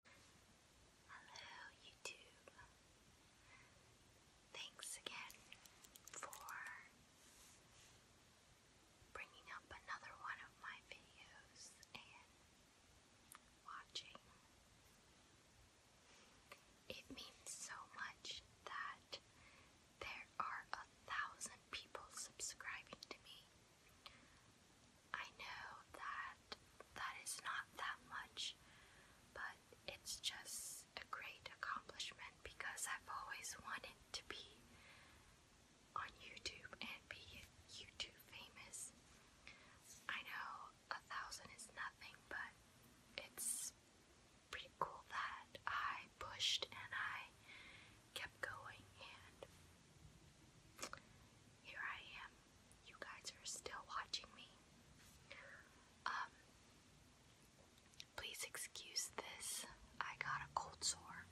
Hello, YouTube. Thanks again for bringing up another one of my videos and watching. It means so much that there are a thousand people subscribing to me. I know that that is not that much, but it's just a great accomplishment because I've always wanted to be on YouTube and be YouTube famous. I know a thousand is nothing, but it's pretty cool that I pushed and I kept going, and here I am you guys are still watching me. Um, please excuse this. I got a cold sore.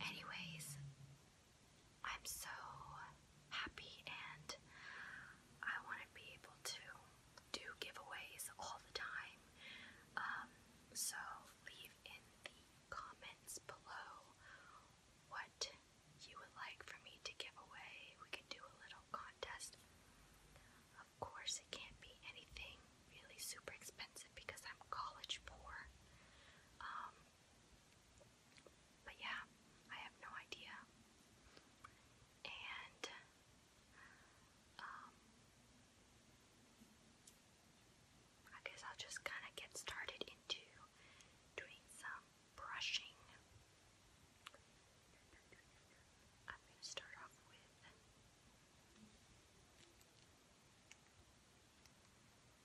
Anyways, I'm so happy and I want to be able to do giveaways all the time. Um, so leave in the comments below what you would like for me to give away. We could do a little contest. Of course, it can't be anything really super expensive because I'm college poor. Um, but yeah, I have no idea. And, um, I guess I'll just kind of get started into doing some brushing. I'm going to start off with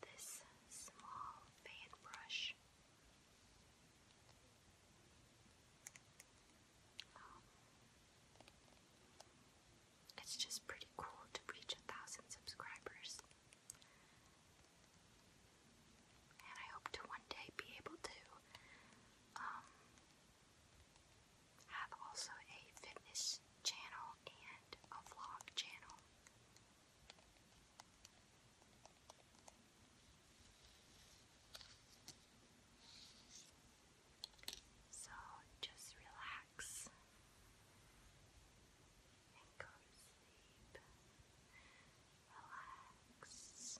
this small fan brush. Um, it's just pretty cool to reach a thousand subscribers. And I hope to one day be able to um, have also a fitness channel and a vlog channel. So just relax go to sleep. Relax. Relax.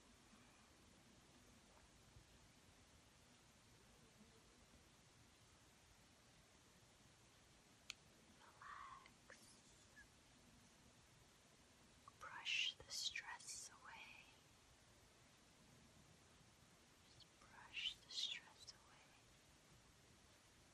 Brush the stress away. Just brush the stress away.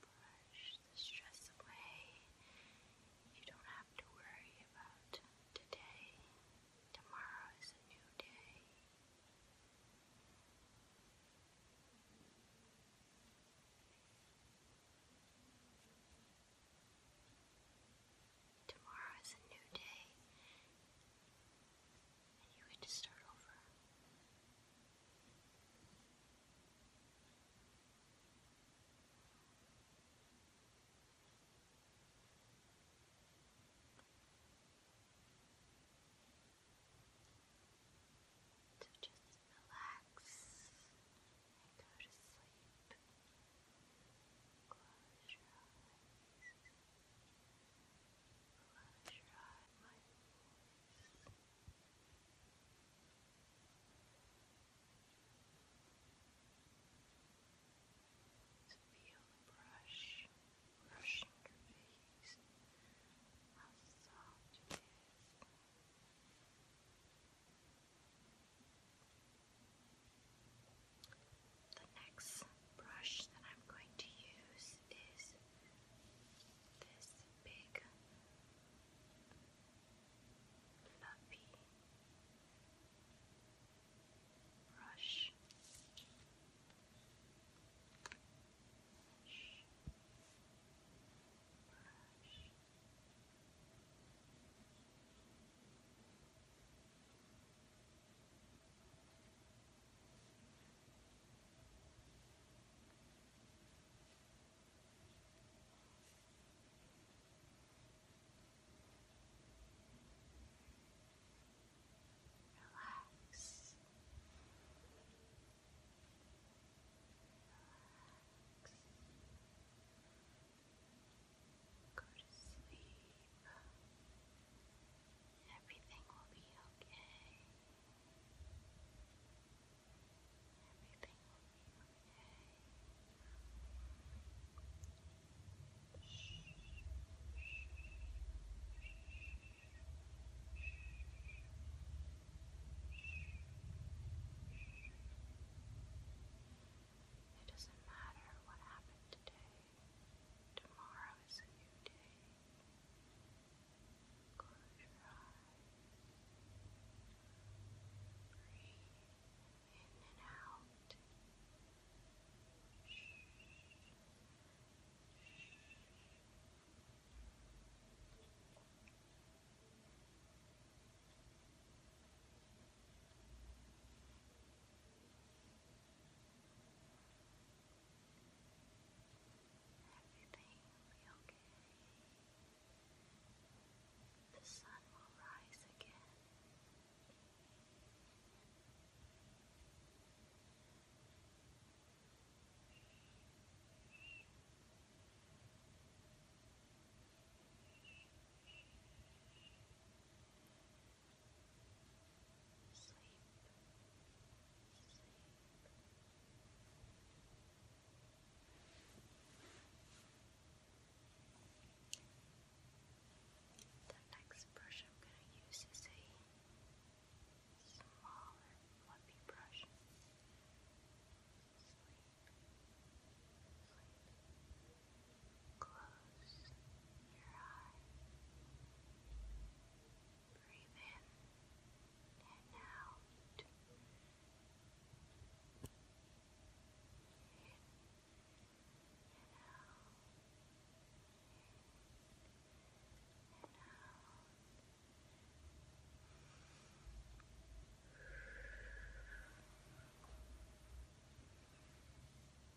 Brush the stress away. You don't have to worry about today. Tomorrow is a new day. Tomorrow is a new day and you had to start over. So just relax and go to sleep. Close your eyes. So feel the brush brushing your face, how soft it is. The next brush that I'm going to use this is this big fluffy Brush, Relax. Relax. Go to sleep. Go Everything will be okay. Everything will be okay. It doesn't matter what happened today. Tomorrow is a new day. Close your eyes. Breathe in and out. Everything will be okay. The sun will rise again sleep, sleep. The next brush I'm going to use is a smaller fluffy brush. Sleep. Sleep. Close your eyes. Breathe in and out. In and out. In and out. Breathe in and out.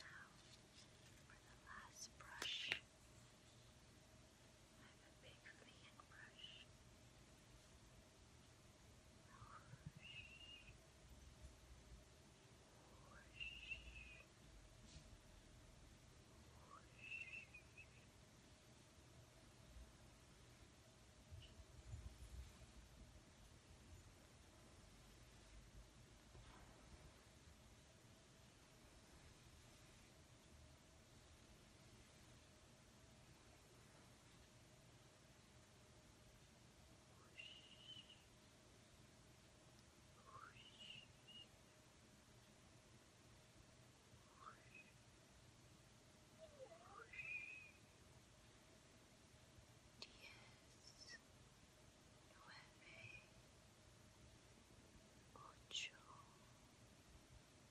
now for the last brush. I have a big clean brush. Whoosh. Whoosh. Whoosh. Whoosh nueve, ocho, siete,